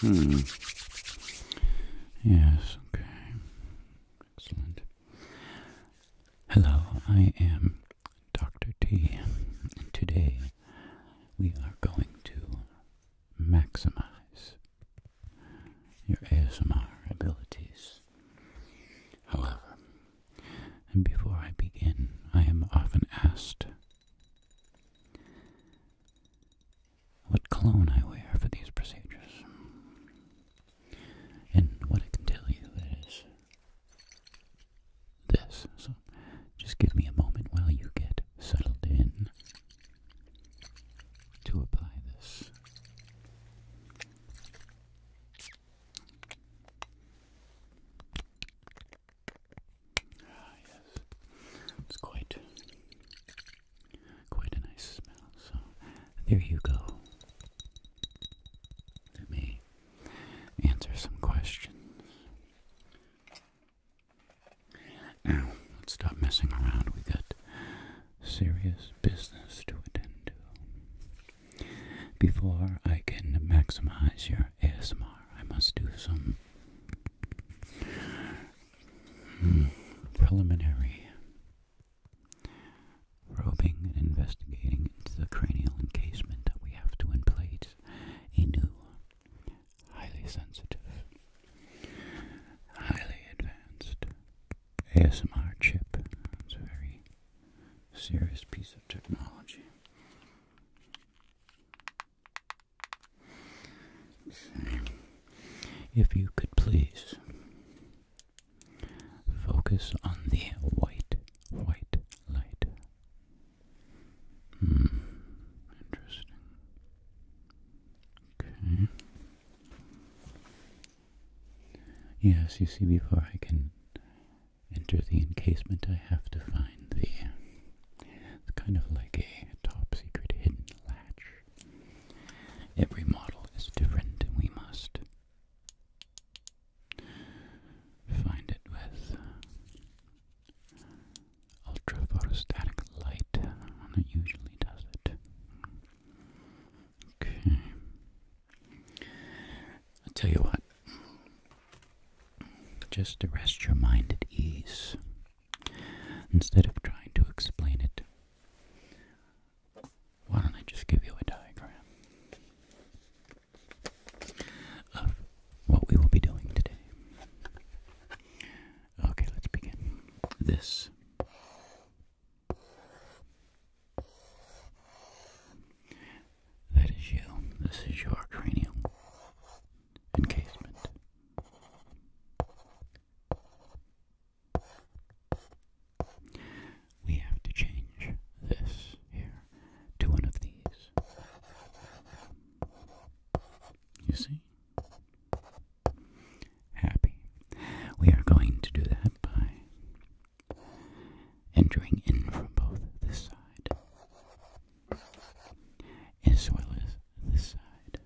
Hmm. Yes, okay. Excellent. Hello, I am Dr. T. Today we are going to maximize your ASMR abilities. However, and before I begin, I am often asked what clone I wear for these procedures. And what I can tell you is this. So just give me a moment while you get settled in to apply this. Ah, yes. It's quite, quite a nice smell. So, there you go. Let me answer some questions. Now, let's stop messing around. We got serious business to attend to. Before I can maximize your ASMR, I must do some Hmm. Preliminary. Probing and investigating into the cranial encasement, we have to in place a new, highly sensitive, highly advanced ASMR chip. It's a very serious piece of technology. If you could please focus on the white, white light. Hmm, interesting. Okay. Yes, you see, before I can enter the encasement, I have to find the it's kind of like a top secret hidden latch. Every model is different, we must find it with ultra photostatic light. That usually does it. Okay. I'll tell you what. Just to rest your mind at ease, Instead of trying to explain it, why don't I just give you a diagram of what we will be doing today? Okay, let's begin. This that is you. This is your cranium encasement. We have to change this here to one of these. You see? Happy. We are going to do that by entering in from both this side as well as this side.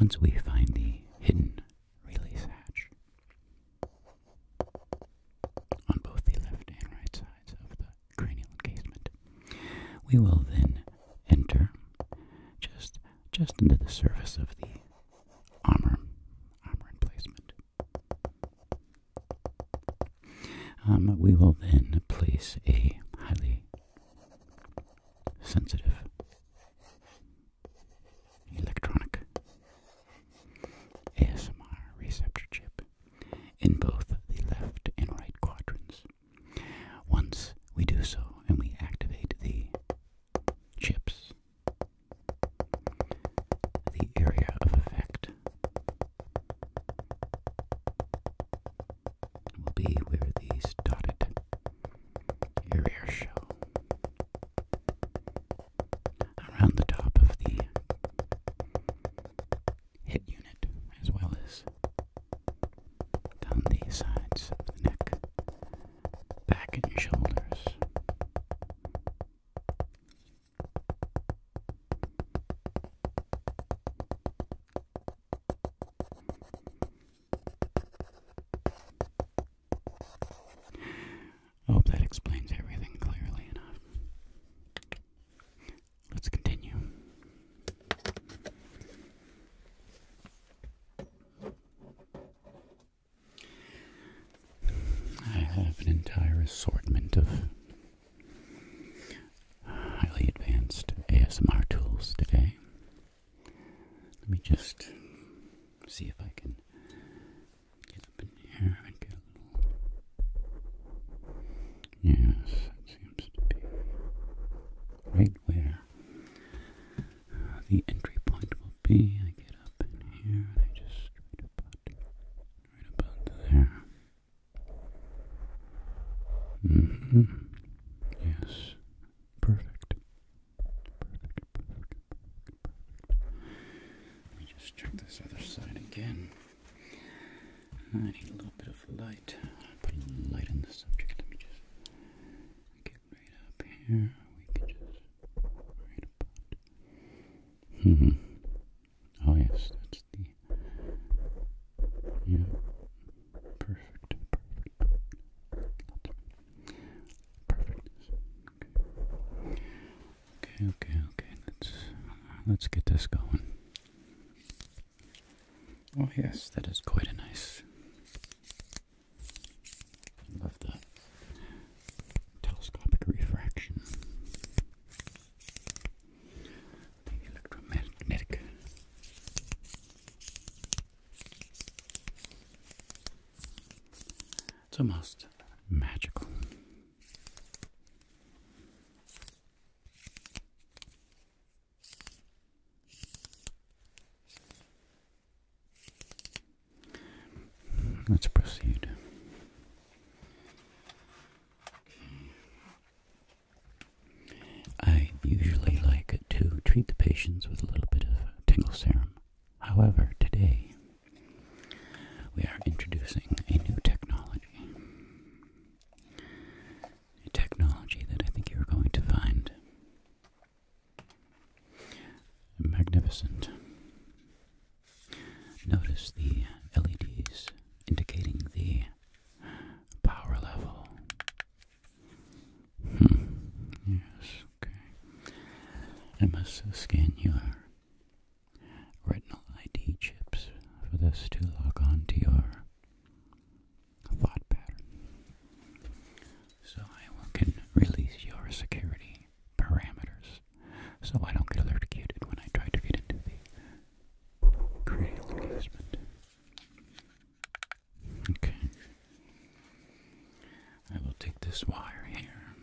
Once we find the hidden release hatch on both the left and right sides of the cranial encasement, we will then enter just just into the surface of the armor armor emplacement. Um, we will then place a highly sensitive electronic ASMR receptor chip in both the left and right quadrants. Once we do so and we activate the chips, the area of effect will be where these dotted areas show. Around the top of the hip unit, as well as down the sides of the neck, back and shoulders, I hope that explains everything clearly enough. Let's continue. I have an entire assortment of highly advanced ASMR tools today. Let me just see if I can get up in here and get a little. Yes, it seems to be right where uh, the entry point will be. I get up in here and I just right about, right about there. Mm-hmm. Yes. Perfect. Perfect, perfect, Let me just check this other side again. I need a little bit of light. put light on the subject. Let me just get right up here. We can just right about. hmm. Oh yes, that's the yeah. Perfect, perfect, perfect. Okay, okay, okay. Let's let's get this going. Oh yes, that is quite a nice. Love the telescopic refraction electromagnetic it's almost magical Let's proceed. I usually like to treat the patients with a little bit of tingle serum. However, today we are introducing a new technology. A technology that I think you're going to find magnificent. Notice the LEDs indicating the power level. Hmm. Yes, okay. MSS must scan your retinal ID chips for this to log on to your thought pattern. So I can release your security parameters so I don't get alerted when I try to get into the cranial basement. Okay. I will take this wire here.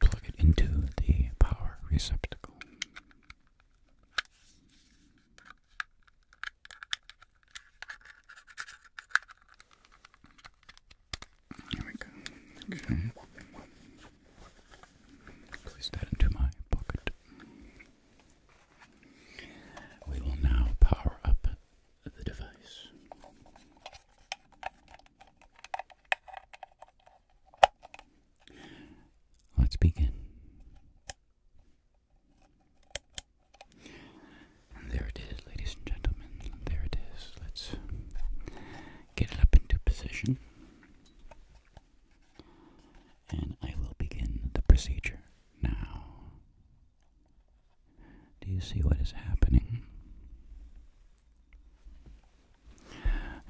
Plug it into the power receptacle. There we go. Place that into my pocket. We will now power up the device. Let's begin. And there it is ladies and gentlemen. There it is. Let's get it up into position. And I will begin the procedure now. Do you see what is happening?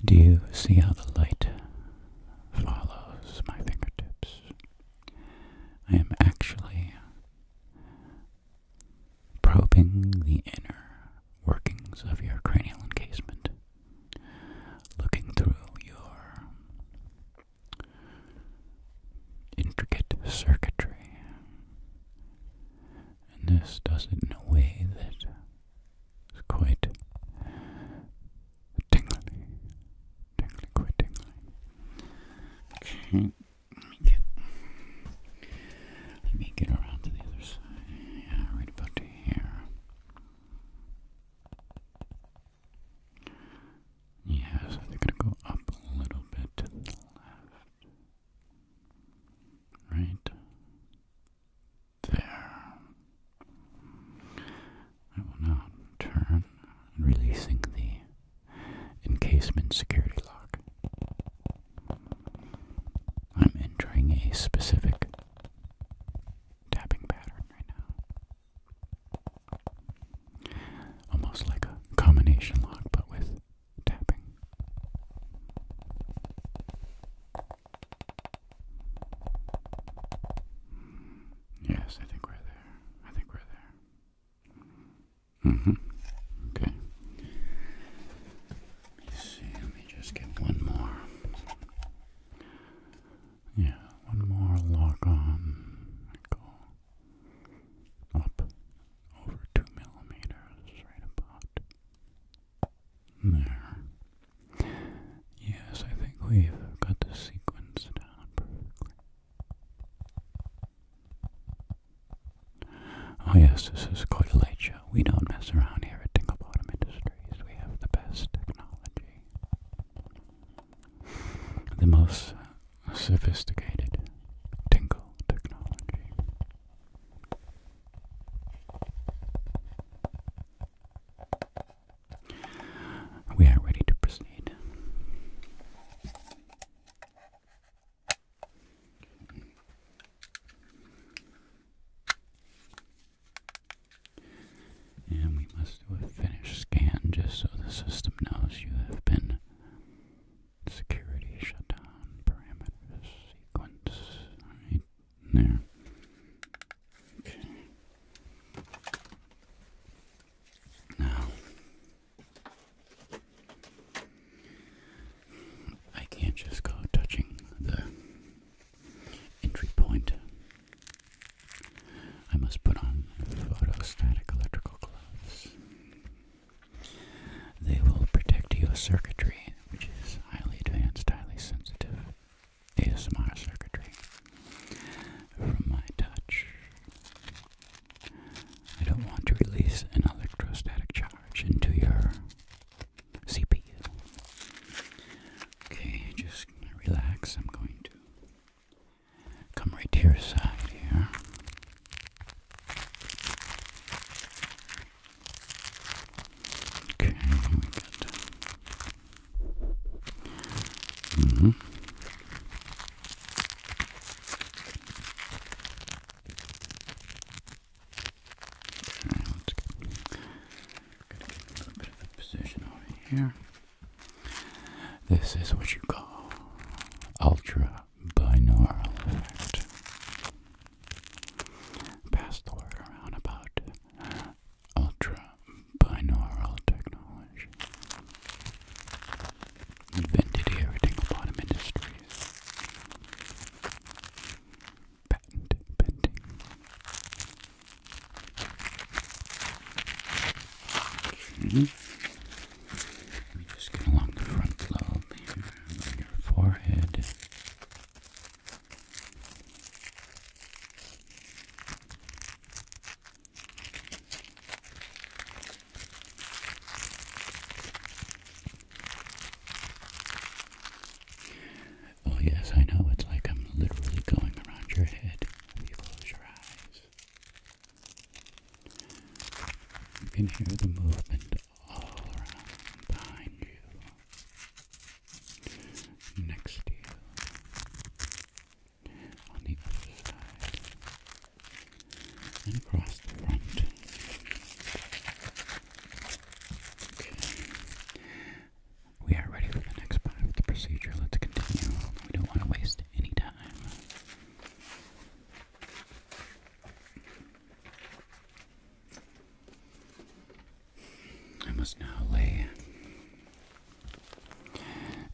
Do you see how the light follows my fingertips? I am actually probing the inner workings of your cranial encasement, looking through your intricate circuitry. And this does it in a way that is quite tingly. Tingly, quite tingly. Okay. Let me get let me get around to the other side. Yeah, right about here. Yeah, so they gonna go up a little bit to the left. Right there. I will now turn, releasing the encasement security lock. I'm entering a specific tapping pattern right now. Almost like a combination lock, but with tapping. Yes, I think we're there. I think we're there. Mm-hmm. Okay. Let me just get one more. Yeah, one more log on. Go up over two millimeters, right about there. Yes, I think we've got the sequence down perfectly. Oh yes, this is quite a late show. We don't mess around here at Tingle Bottom Industries. We have the best technology. The most sophisticated Tingle technology. We are ready to proceed. And we must finish scan just so the system knows you have been security shutdown parameters sequence. there. Okay. Now I can't just go touching the entry point. I must put on photostatic electrical gloves. They will protect your circuitry, which is highly advanced, highly sensitive ASMR circuitry, from my touch. I don't want to release an electrostatic charge into your CPU. Okay, just relax. I'm going to come right to your side here. Okay, let's get, got position over here. This is what you call ultra binaural effect. Pass the word around about ultra binaural technology invented everything about industries. Patent pending. Hmm? Let me just get along the front lobe here on your forehead. Oh, yes, I know. It's like I'm literally going around your head when you close your eyes. You can hear the movement all around behind you, next to you, on the other side across the front. We are ready for the next part of the procedure. Let's continue. We don't want to waste any time. I must now lay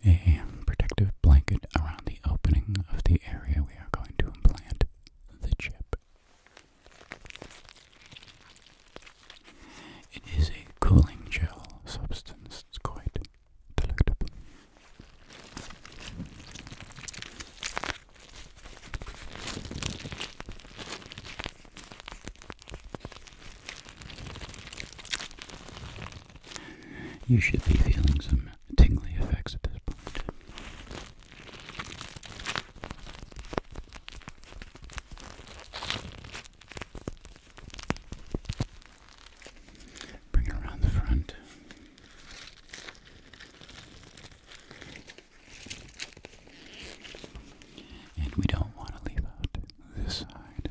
a protective blanket around the opening of the area we are going to implant the chip. It is a cooling gel substance, it's quite delectable. You should be feeling some tingly effects at this point. Bring it around the front. And we don't want to leave out this side.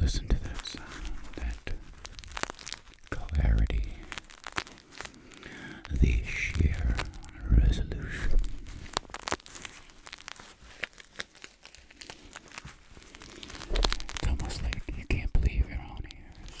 Listen to that sound, that clarity, the sheer resolution. It's almost like you can't believe your own ears.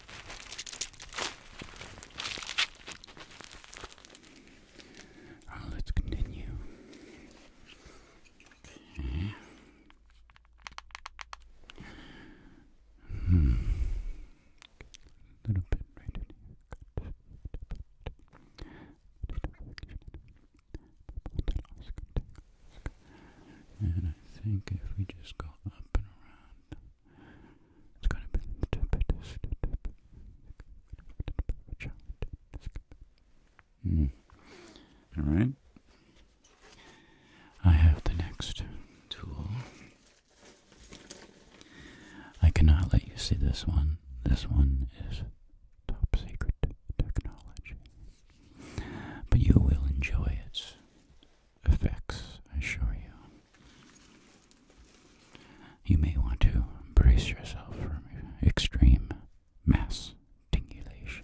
Uh, let's continue. Hmm. A little bit right here. And I think if we just go up and around it's going to be a bit, a a bit Mm. All right. I have the next tool. I cannot let you see this one. This one is top secret technology. But you will enjoy it effects, I assure you. You may want to brace yourself for extreme mass tingulation.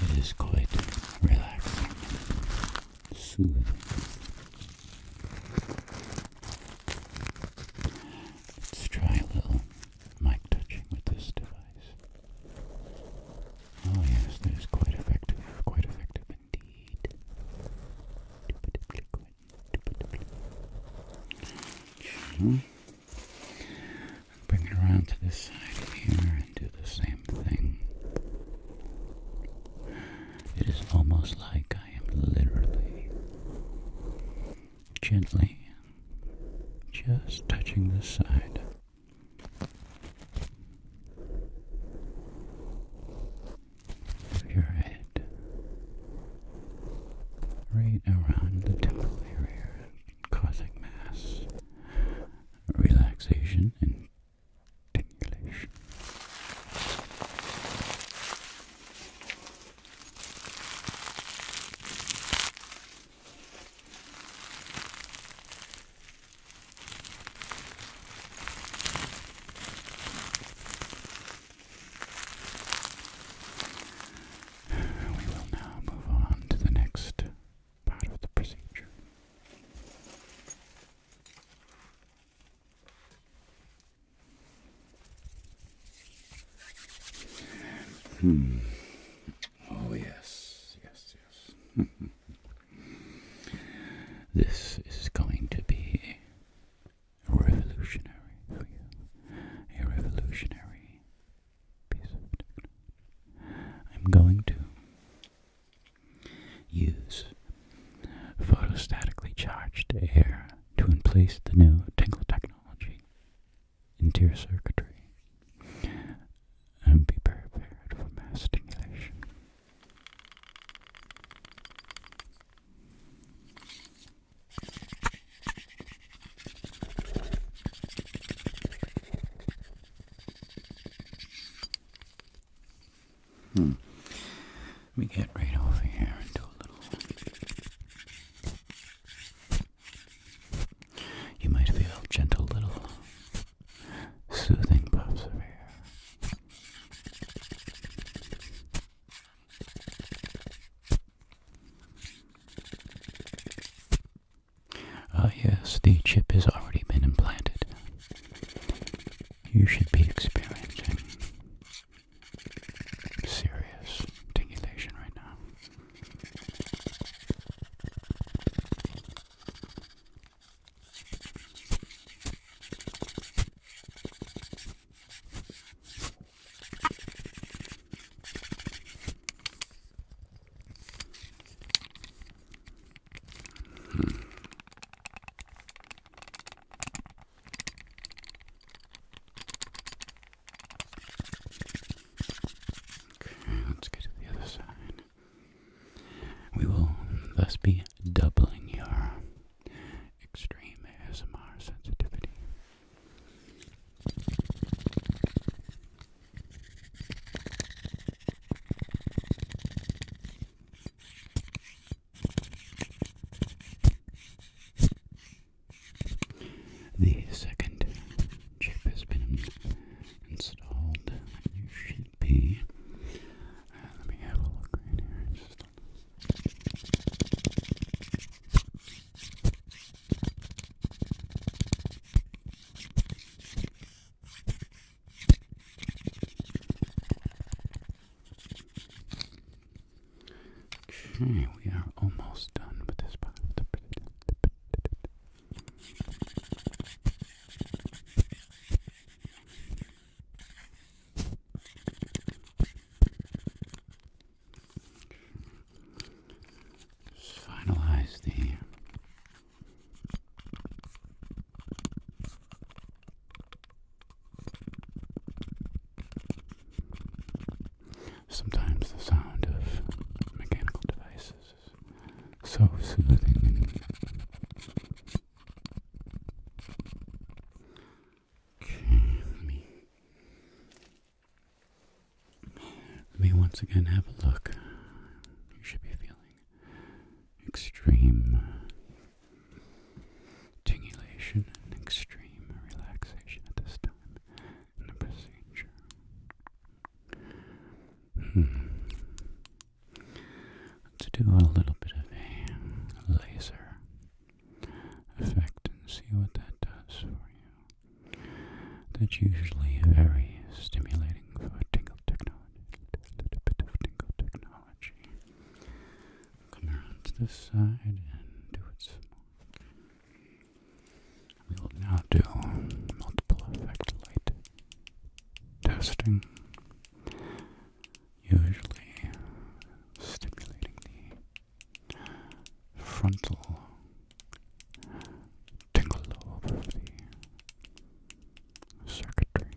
It is quite relaxing, soothing. Let's try a little mic touching with this device. Oh yes, that is quite effective, quite effective indeed. Hmm? And bring it around to this side here and do the same thing. It is almost like I am literally gently just touching this side. Of your head, right around the temple area, causing mass relaxation and tingling we will now move on to the next part of the procedure. Hmm. Oh, yes, yes, yes. this is going to be revolutionary A revolutionary I'm going to use photostatically charged air to replace the new tingle technology into your circuitry and be prepared for mass stimulation. Hmm. Let me get right over here and do a little. You might feel gentle little soothing puffs over here. Ah yes, the chip has already been implanted. You should be experiencing serious tingulation right now. Okay, let's get to the other side. We will thus be doubling your extreme ASMR sensitivity. The second chip has been installed. You should be. Uh, let me have a look right here. Okay, we are almost done with this part finalize the Sometimes the sound of mechanical devices is so soothing Okay, let me let me once again have a look. You should be feeling extreme tingulation and extreme relaxation at this time in the procedure. Hmm. do a little bit of a laser effect and see what that does for you. That's usually very stimulating for tingle technology. A little bit of tingle technology. Come around to this side and do it some more. We will now do multiple effect light testing. Usually stimulating the frontal tingle of the circuitry.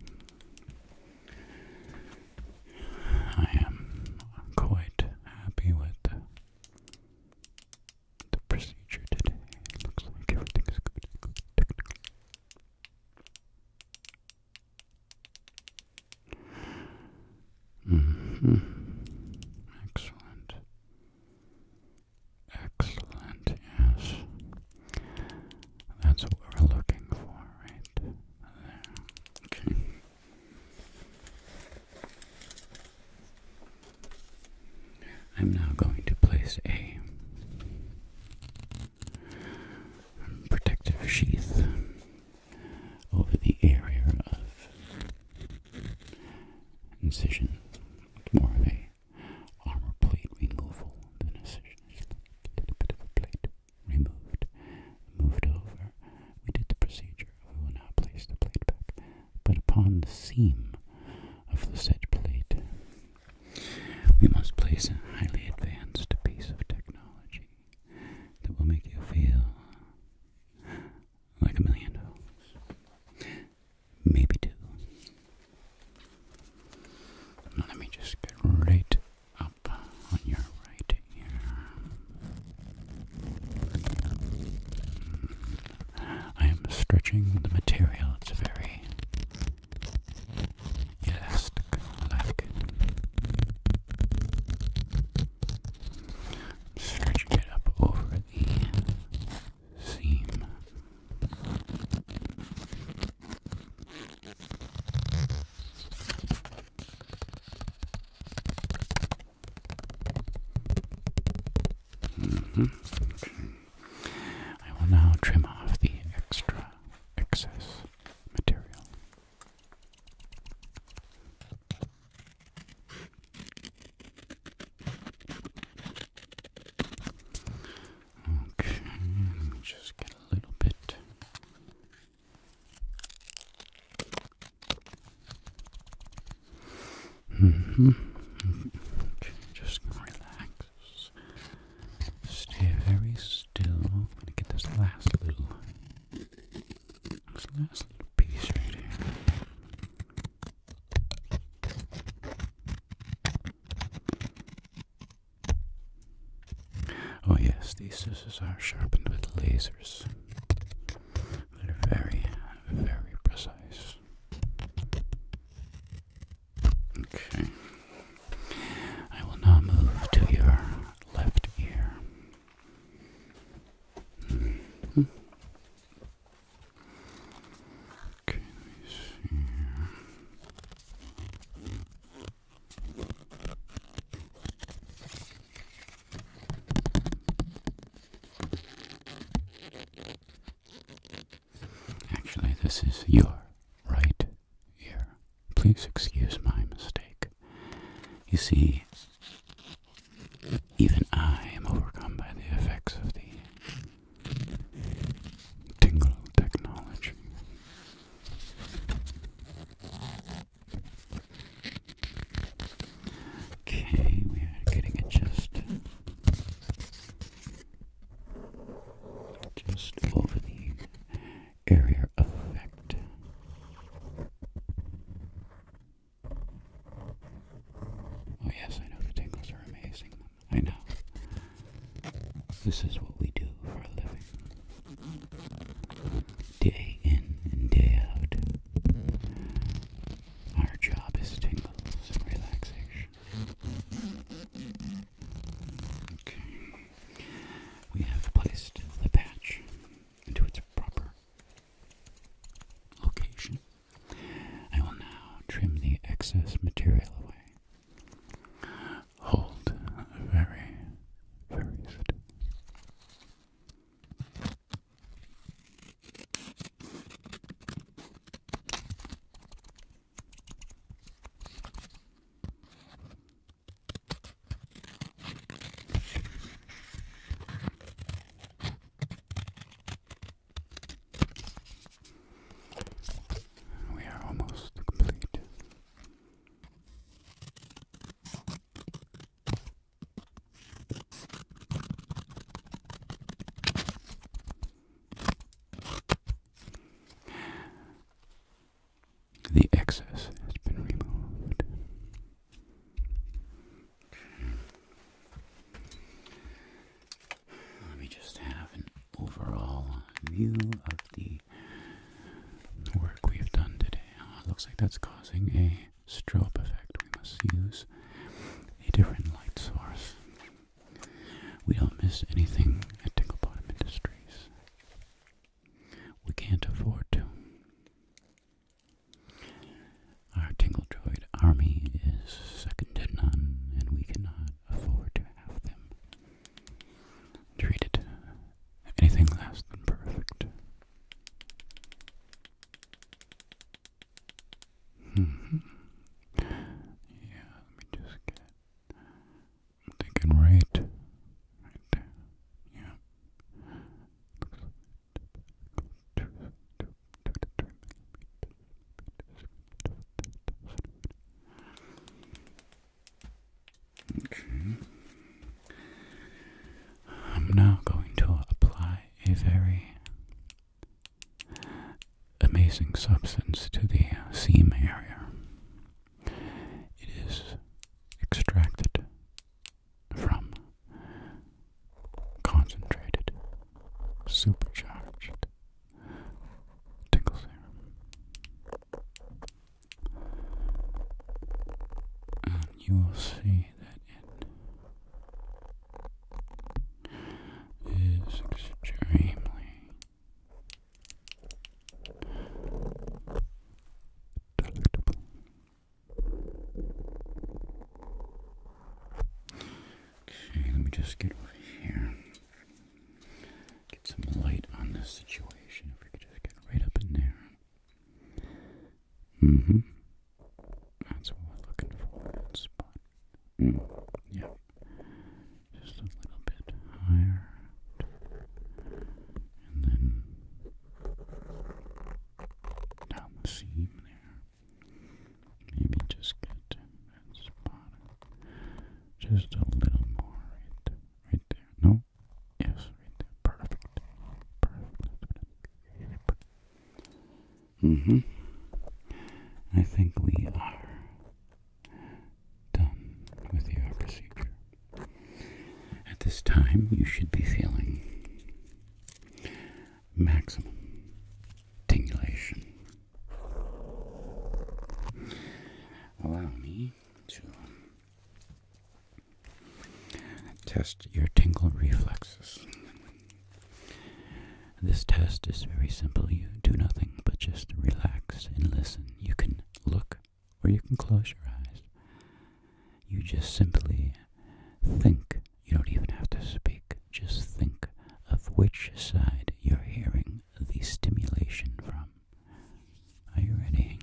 I am quite happy with the procedure today. looks like everything is good. Mm-hmm. Excellent. Excellent, yes. That's what we're looking for, right there. Okay. I'm now going to place a protective sheath over the area of incision. more of a armor plate removal than incision. Just a bit of a plate removed, moved over. We did the procedure. We will now place the plate back, but upon the seam of the said plate, we must place a highly advanced piece of technology that will make you feel like a million Maybe two. Now let me just get right up on your right ear. I am stretching the material. It's very elastic stretching it up over the seam. Mm-hmm. I will now trim off the extra excess material. Okay, just get a little bit. Mm hmm. just relax. Stay very still. gonna get this last little this last piece right here. Oh, yes, these scissors are sharpened with lasers. They're very, very precise. Okay. I will now move to your left ear. Actually, this is your right ear. Please excuse my mistake. You see, even I am overcome by the effects of the tingle technology. Okay, we are getting it just just over the area effect. Oh, yes, I know the tingles are amazing. I know. This is what we do for a living. Day in and day out. Our job is tingles and relaxation. Okay. We have placed the patch into its proper location. I will now trim the excess material away. Hold very, very still. We are almost complete. The excess has been removed. Let me just have an overall view of the work we've done today. Uh, looks like that's causing a strobe effect. We must use a different light source. We don't miss anything at Tickle Bottom Industries. We can't afford to. Our tingle army is second to none, and we cannot afford to have them treated anything less than perfect. Hmm. Yeah, let me just get thinking right. Right Yeah. Okay. I'm now going to apply a very amazing substance to the seam area. It is extracted from concentrated, supercharged tingle serum. And you will see that it is extremely delectable. Okay, let me just get over here. Get some light on this situation. If we could just get right up in there. Mm hmm. That's what we're looking for that spot. Mm. Yeah. Just a little bit higher. And then down the seam there. Maybe just get that spot. Just a little more right Right there. No? Yes, right there. Perfect. Perfect. Mm-hmm. I think we are done with your procedure. At this time, you should be feeling maximum tingulation. Allow me to test your tingle reflexes. This test is very simple. You do nothing but just relax and listen. You can look or you can close your eyes. You just simply think you don't even have to speak. Just think of which side you're hearing the stimulation from. Are you ready?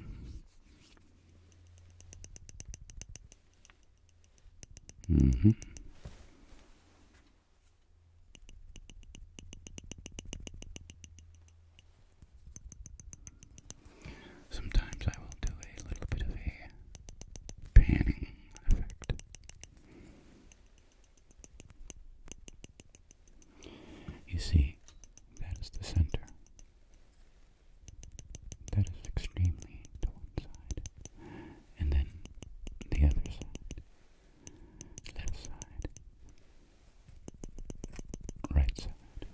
Mm-hmm. Sometimes I will do a little bit of a panning effect. You see, that is the center. That is extremely to one side. And then the other side. Left side. Right side.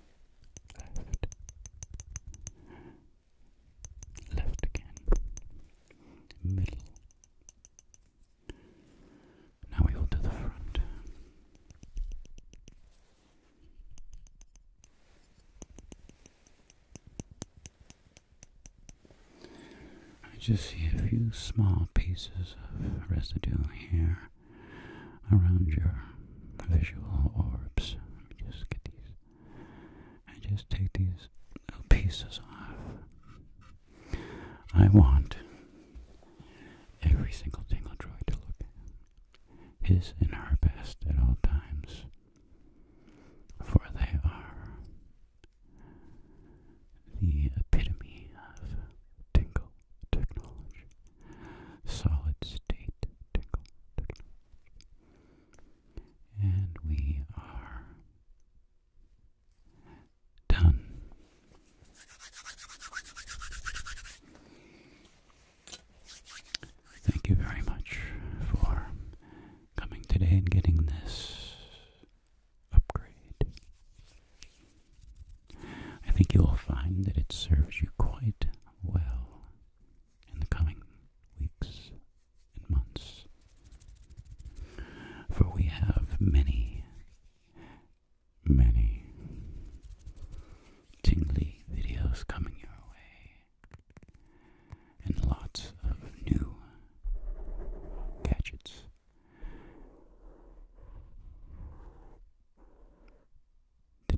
Left left again, middle. Now we go to the front. I just see a few small pieces of residue here around your visual orbs. Let me just get these I just take these little pieces off. I want every single tingle droid to look his and her best at all times, for they are the epitome of tingle technology, solid state tingle and we are done. Thank you very much for coming today and getting this upgrade. I think you will find that it serves you quite well in the coming weeks and months. For we have many, many tingly videos coming your way, and lots of new gadgets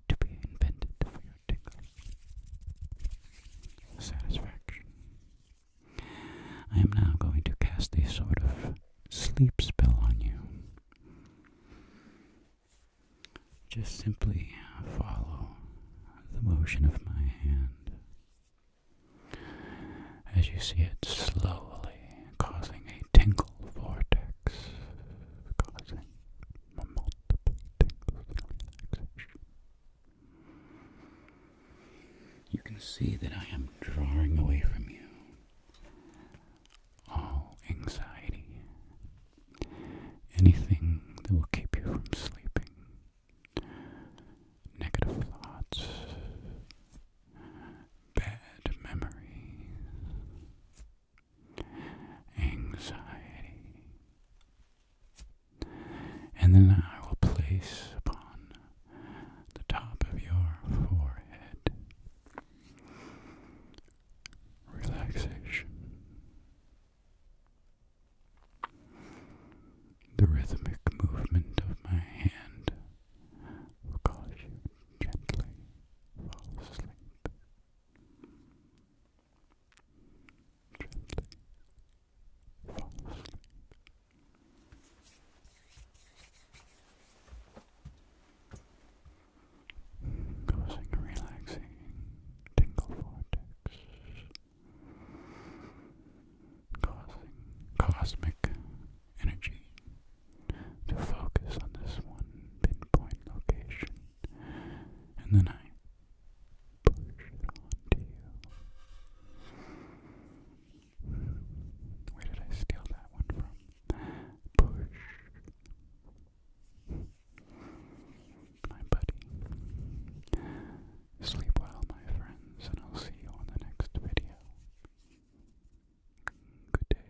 to be invented for your tickle satisfaction. I am now going to cast a sort of sleep spell on you. Just simply follow the motion of my hand as you see it slowly causing a tingle vortex, causing you can see that I am drawing away from you all anxiety, anything that will keep you from sleeping, negative thoughts, bad memories, anxiety. And then I will place upon the top of your forehead relaxation, the rhythmic movement of my hand will cause you gently fall asleep. Causing a relaxing tingle vortex, causing cosmic energy to focus on this one pinpoint location in the night push it onto you. Where did I steal that one from? Push. My buddy. Sleep well, my friends, and I'll see you on the next video. Good day.